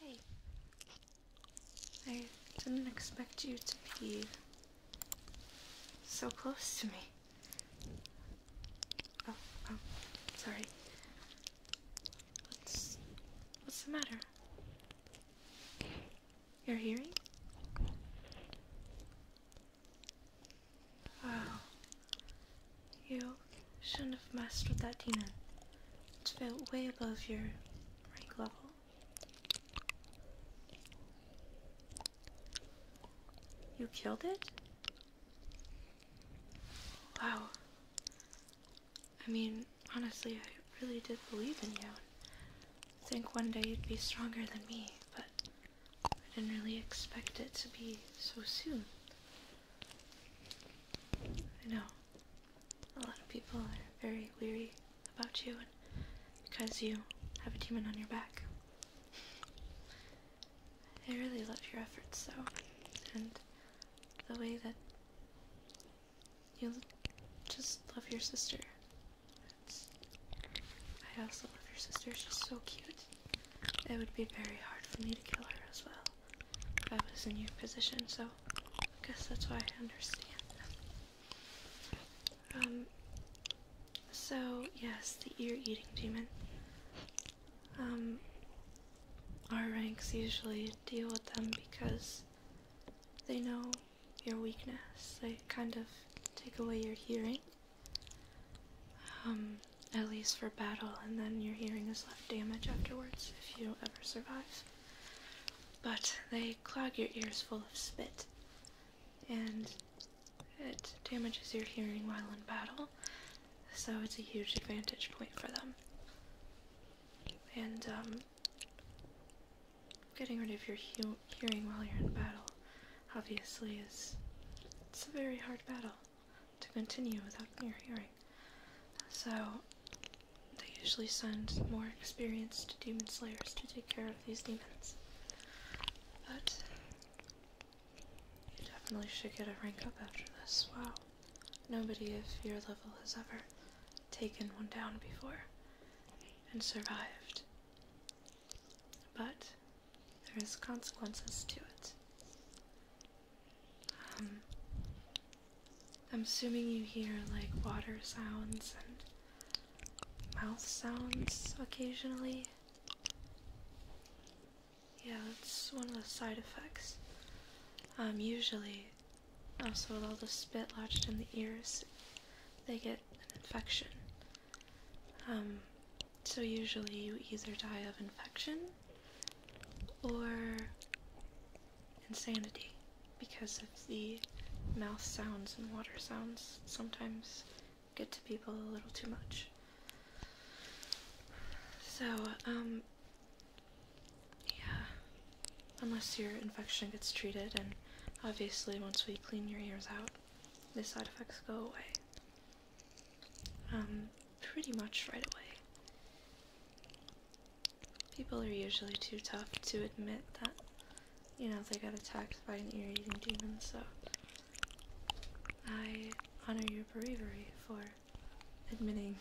Hey, I didn't expect you to be so close to me. Oh, oh, sorry. What's what's the matter? Your hearing? Wow. You shouldn't have messed with that demon. It's way above your rank level. You killed it? Wow. I mean, honestly, I really did believe in you. I think one day you'd be stronger than me, but I didn't really expect it to be so soon. I know a lot of people are very weary about you because you have a demon on your back. I really love your efforts though, and the way that you just love your sister. I also love your sister, she's so cute. It would be very hard for me to kill her as well if I was in your position, so I guess that's why I understand Um, so, yes, the ear eating demon. Um, our ranks usually deal with them because they know your weakness, they kind of take away your hearing. Um, at least for battle, and then your hearing is left damaged afterwards if you ever survive. But they clog your ears full of spit, and it damages your hearing while in battle, so it's a huge advantage point for them. And um, getting rid of your hearing while you're in battle obviously is it's a very hard battle to continue without your hearing. So, they usually send more experienced demon slayers to take care of these demons. But, you definitely should get a rank up after this. Wow. Nobody of your level has ever taken one down before and survived. But, there is consequences to it. Um, I'm assuming you hear like water sounds and mouth sounds occasionally. Yeah, that's one of the side effects. Um, usually, also with all the spit lodged in the ears, they get an infection. Um, so usually you either die of infection or insanity because of the mouth sounds and water sounds sometimes get to people a little too much. So, um, yeah, unless your infection gets treated, and obviously, once we clean your ears out, the side effects go away um, pretty much right away. People are usually too tough to admit that, you know, they got attacked by an ear-eating demon, so I honor your bravery for admitting,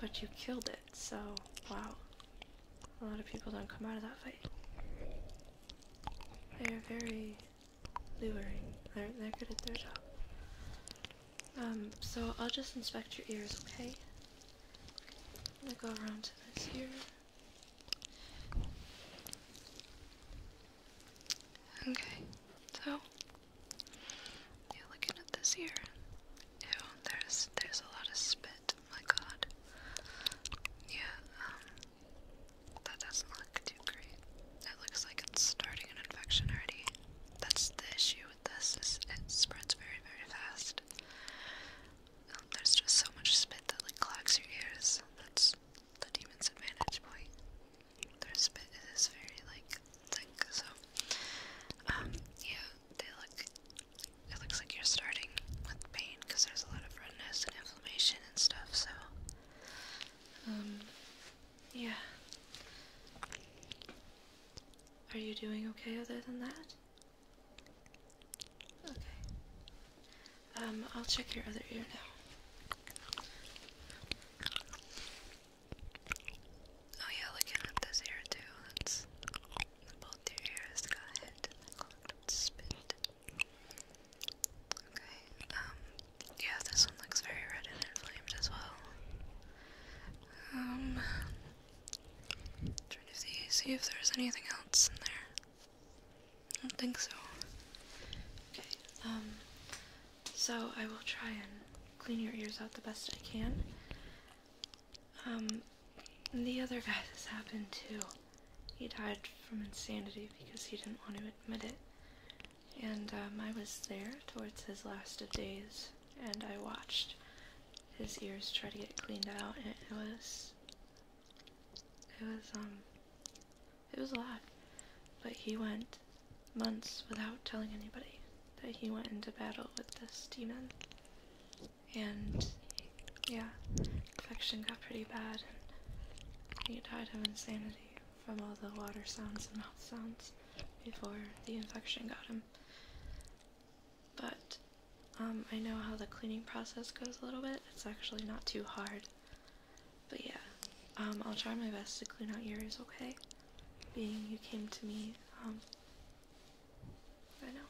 but you killed it, so wow. A lot of people don't come out of that fight. They are very luring. They're, they're good at their job. Um, so I'll just inspect your ears, okay? I'm gonna go around to this ear. Okay, so you're looking at this ear. Ew, there's there's a lot of spit. My God. Yeah, um, that doesn't it looks like it's starting an infection already. That's the issue with this, is it spreads very, very fast. Um, there's just so much spit that like clogs your ears. That's the demon's advantage point. Their spit is very like thick, so um, yeah, they look. It looks like you're starting with pain because there's a lot of redness and inflammation and stuff. So, um, yeah. Are you doing okay other than that? Okay. Um, I'll check your other ear now. Oh yeah, looking at this ear too. That's both your ears got hit Okay, um, yeah, this one looks very red and inflamed as well. Um, trying to see, if there's anything else in there. I don't think so. Okay, um, so I will try and clean your ears out the best I can. Um, the other guy this happened to, he died from insanity because he didn't want to admit it. And um, I was there towards his last of days, and I watched his ears try to get cleaned out, and it was, it was, um, it was a lot. But he went months without telling anybody that he went into battle with this demon. And, yeah, infection got pretty bad, and he died of insanity from all the water sounds and mouth sounds before the infection got him. But um, I know how the cleaning process goes a little bit. It's actually not too hard. But yeah, um, I'll try my best to clean out yours, okay? Being you came to me, um, I know.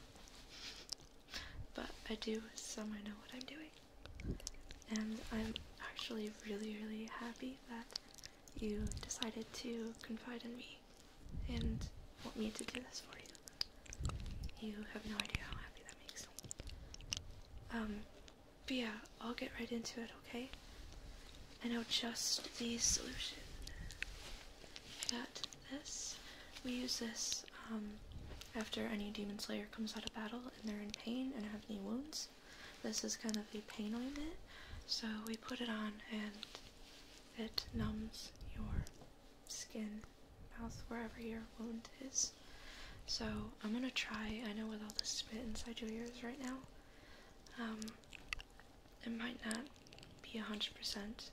but I do, so I know what I'm doing. And I'm actually really, really happy that you decided to confide in me and want me to do this for you. You have no idea how happy that makes me. Um, but yeah, I'll get right into it, okay? I know just the solution. Got this. We use this um, after any demon slayer comes out of battle and they're in pain and have any wounds this. is kind of a pain ointment, so we put it on and it numbs your skin, mouth, wherever your wound is. So I'm gonna try. I know with all the spit inside your ears right now, um, it might not be a hundred percent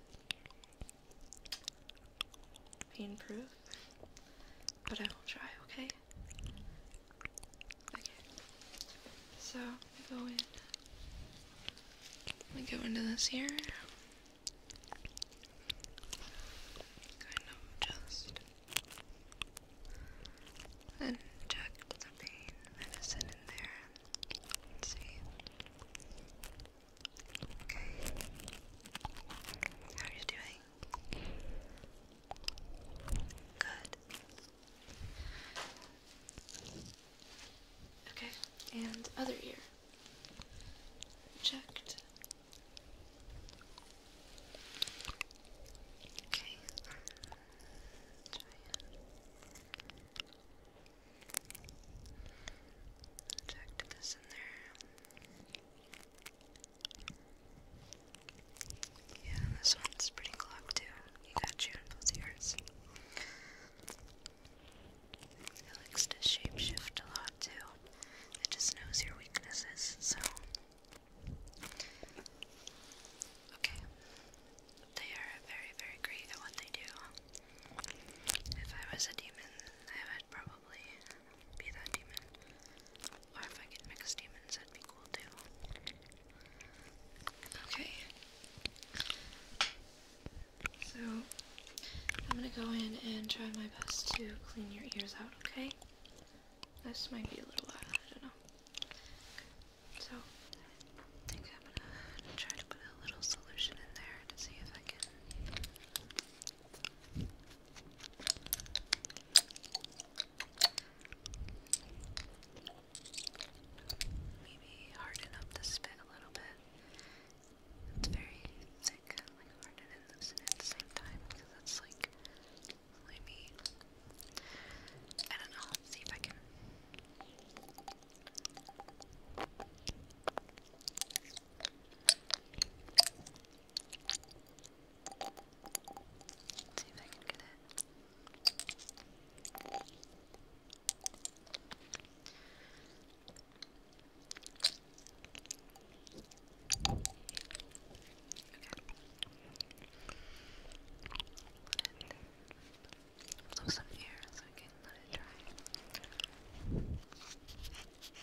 pain proof, but I will try. Okay. So we go in. We go into this here. Kind of just inject the pain medicine in there. see. Okay. How are you doing? Good. Okay, and other ear. Checked. Okay. Try it. Checked this in there. Yeah, this one's pretty clogged too. You got you in both ears. It likes to shapeshift a lot too. It just knows your weaknesses, so. Okay. They are very, very great at what they do. If I was a demon, I would probably be that demon. Or if I could mix demons, that'd be cool too. Okay. So, I'm gonna go in and try my best to clean your ears out, okay? This might be a little loud, I don't know. So, I think I'm gonna try to put a little solution in there to see if I can Maybe harden up the spit a little bit. It's very thick, like harden and loosen same time because that's like really I don't know. see if I can. Let's see if I can get it. Okay. And blow some air so I can let it dry.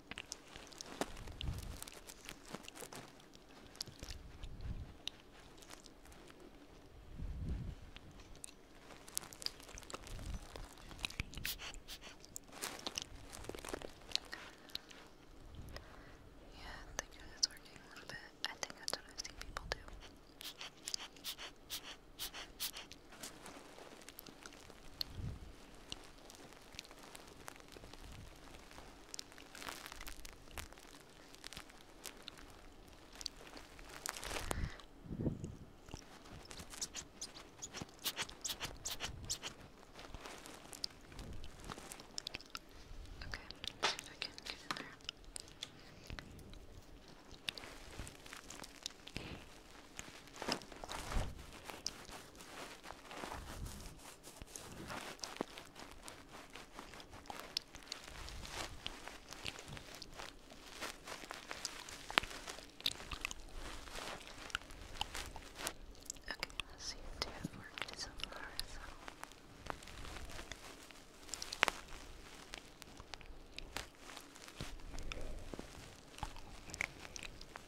Yeah, I think it's working a little bit. I think that's what I've seen people do. Okay, let's see if I can get in there. Okay. Okay, let's see if they have worked so far. So. If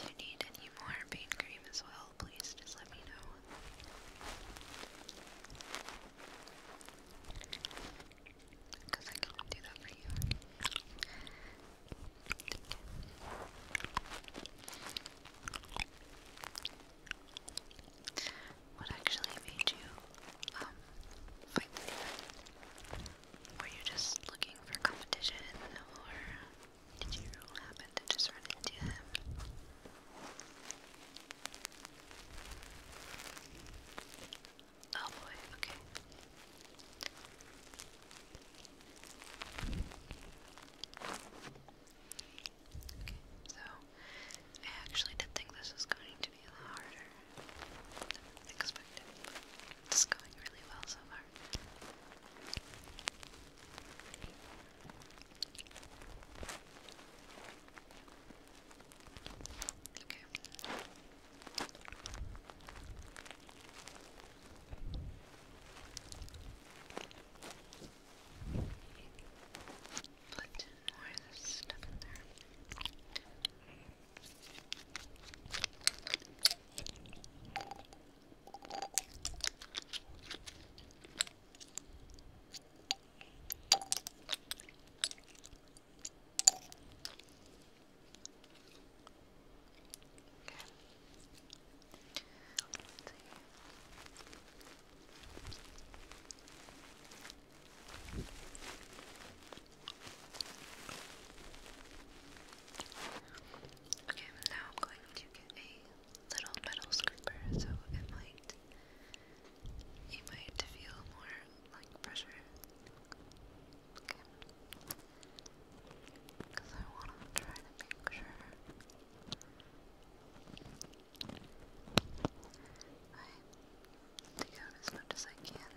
you need any more pain cream as well, please just let me know. Because I can do that for you. What actually made you um, fight the Were you just looking for competition or did you happen to just run into him? Oh boy, okay. so I actually did think this was going to be a lot harder than expected, but it's going really well so far. Okay. Put more of this stuff in there. Okay. Okay, now I'm going to get a little metal scraper, so it might you might feel more like pressure. Because I want to try to make sure I dig out as much as I can.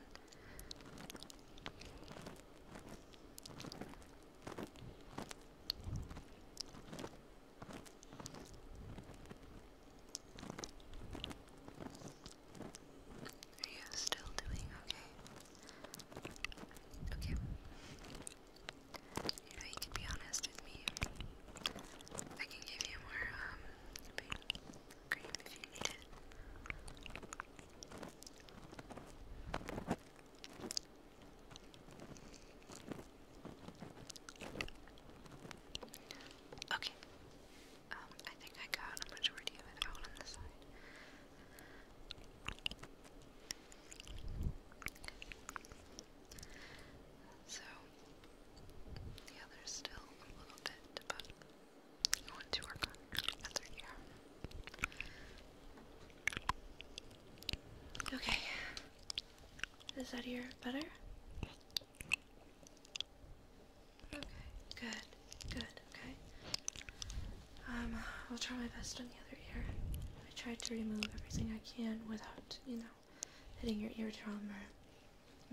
Are you still doing okay? Okay. You know, you be honest with me. I can give you more, um, cream if you need it. Okay. Um, I think I got a majority of it out on the side. So, the other's still a little bit, but I want to work on other ear. Okay. Is that ear better? Okay, good, good, okay. Um, I'll try my best on the other ear. I tried to remove everything I can without, you know, hitting your eardrum or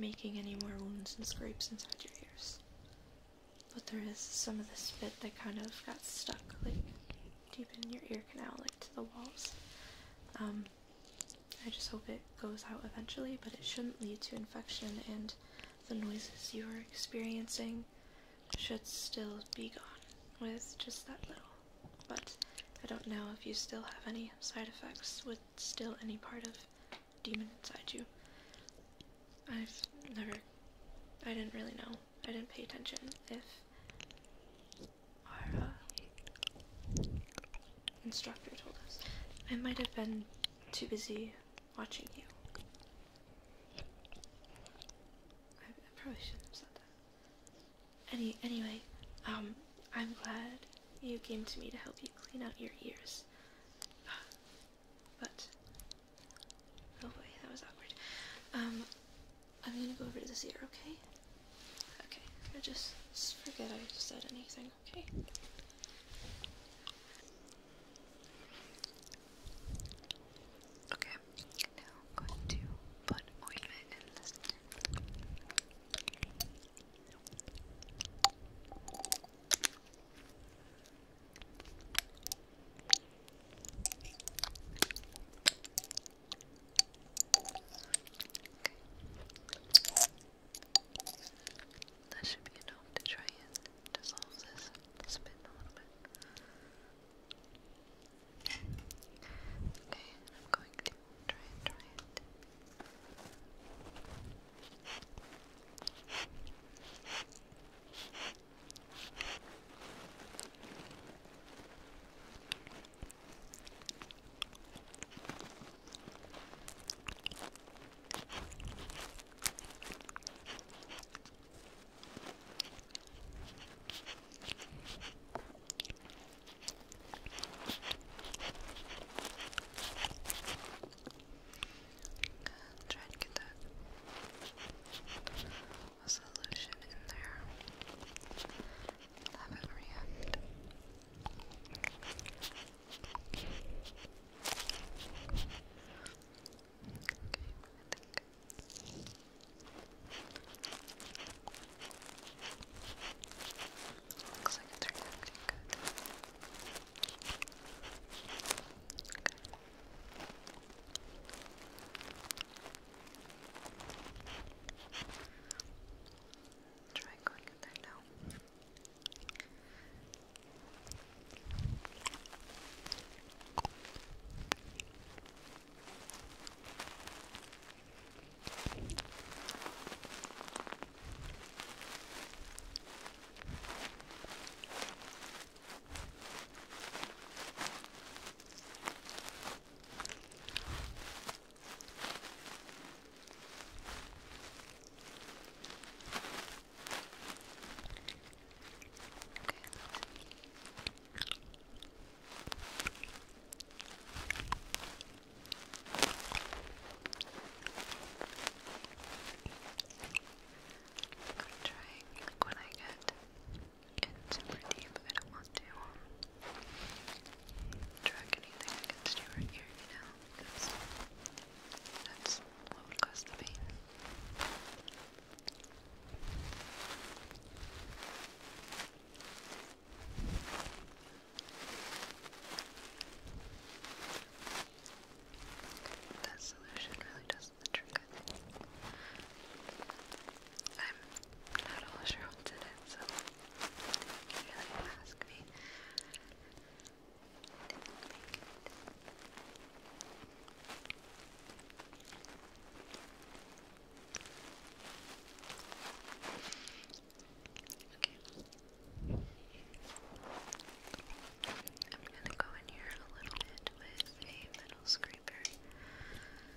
making any more wounds and scrapes inside your ears. But there is some of this bit that kind of got stuck, like deep in your ear canal, like to the walls. Um, I just hope it goes out eventually, but it shouldn't lead to infection, and the noises you are experiencing should still be gone with just that little. But I don't know if you still have any side effects with still any part of demon inside you. I've never. I didn't really know. I didn't pay attention if our instructor told us. I might have been too busy watching you. I, I probably shouldn't have said that. Any, anyway, um, I'm glad you came to me to help you clean out your ears. But, oh boy, that was awkward. Um, I'm gonna go over to this ear, okay? Okay, I just forget I said anything, okay? Okay, now going to put ointment in this. Okay. That should be enough to try and dissolve this a little bit. Okay, I'm going to try and try it. Try to get that solution in there. Have it react. Looks like it turned out pretty good. Okay try going with that now. I'm trying when I get in deep I don't want to track anything against you right here, you know, because that's what would cause the That solution really does the trick, I I'm not all sure what did it, so you can really ask me. I'm gonna go in here a little bit with a metal scraper.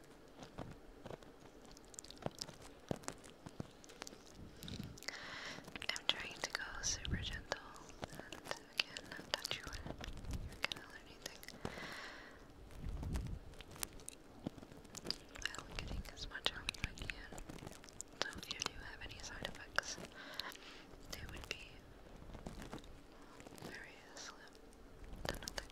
I'm trying to go super gentle and again not touch you on your canal or anything while getting as much out as I can. So if you do have any side effects, they would be very slim to nothing.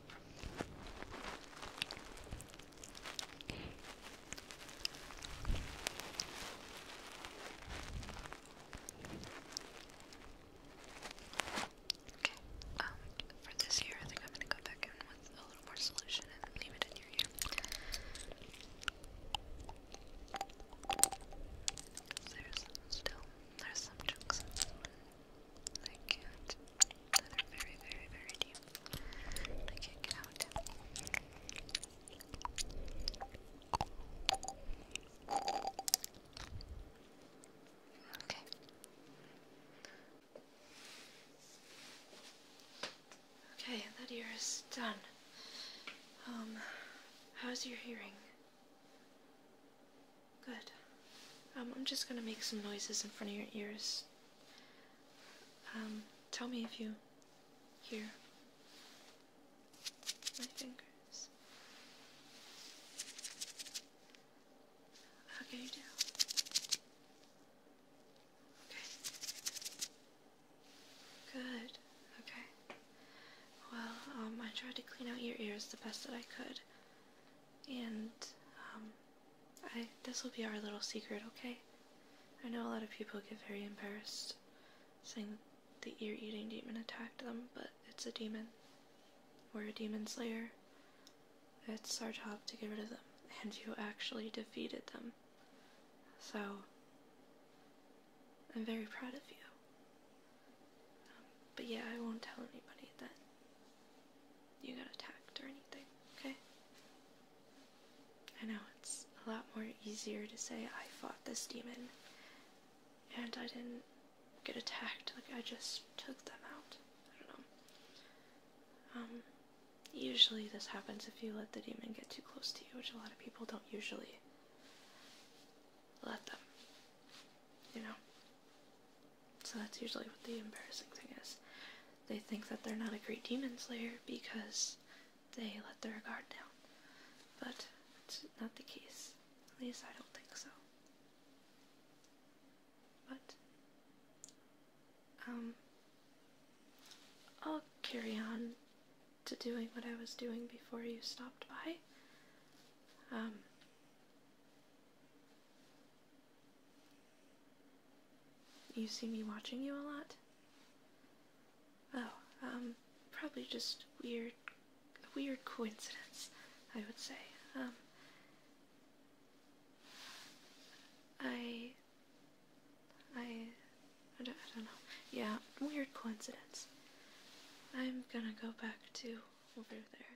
Okay, um, for this here, I think I'm gonna go back in with a little more solution and leave it in your ear. There's still, there's some chunks. I can't. That are very, very, very deep. I can't get out. Okay. Okay, that ear is done. Um, how's your hearing? Good. Um, I'm just gonna make some noises in front of your ears um, tell me if you hear my fingers. How can you do? Okay. Good. Okay. Well, um, I tried to clean out your ears the best that I could. And, um, this will be our little secret, okay? I know a lot of people get very embarrassed saying the ear-eating demon attacked them, but it's a demon. We're a demon slayer. It's our job to get rid of them, and you actually defeated them. So, I'm very proud of you. Um, but yeah, I won't tell anybody that you got attacked or anything, okay? I know it's a lot more easier to say I fought this demon and I didn't get attacked, like I just took them out. I don't know. Um, usually this happens if you let the demon get too close to you, which a lot of people don't usually let them, you know? So that's usually what the embarrassing thing is. They think that they're not a great demon slayer because they let their guard down. But it's not the case. At least I don't think so. But, um, I'll carry on to doing what I was doing before you stopped by. Um, you see me watching you a lot? Oh, um, probably just weird, weird coincidence, I would say. Um, I, I, I don't know. Yeah, weird coincidence. I'm gonna go back to over there.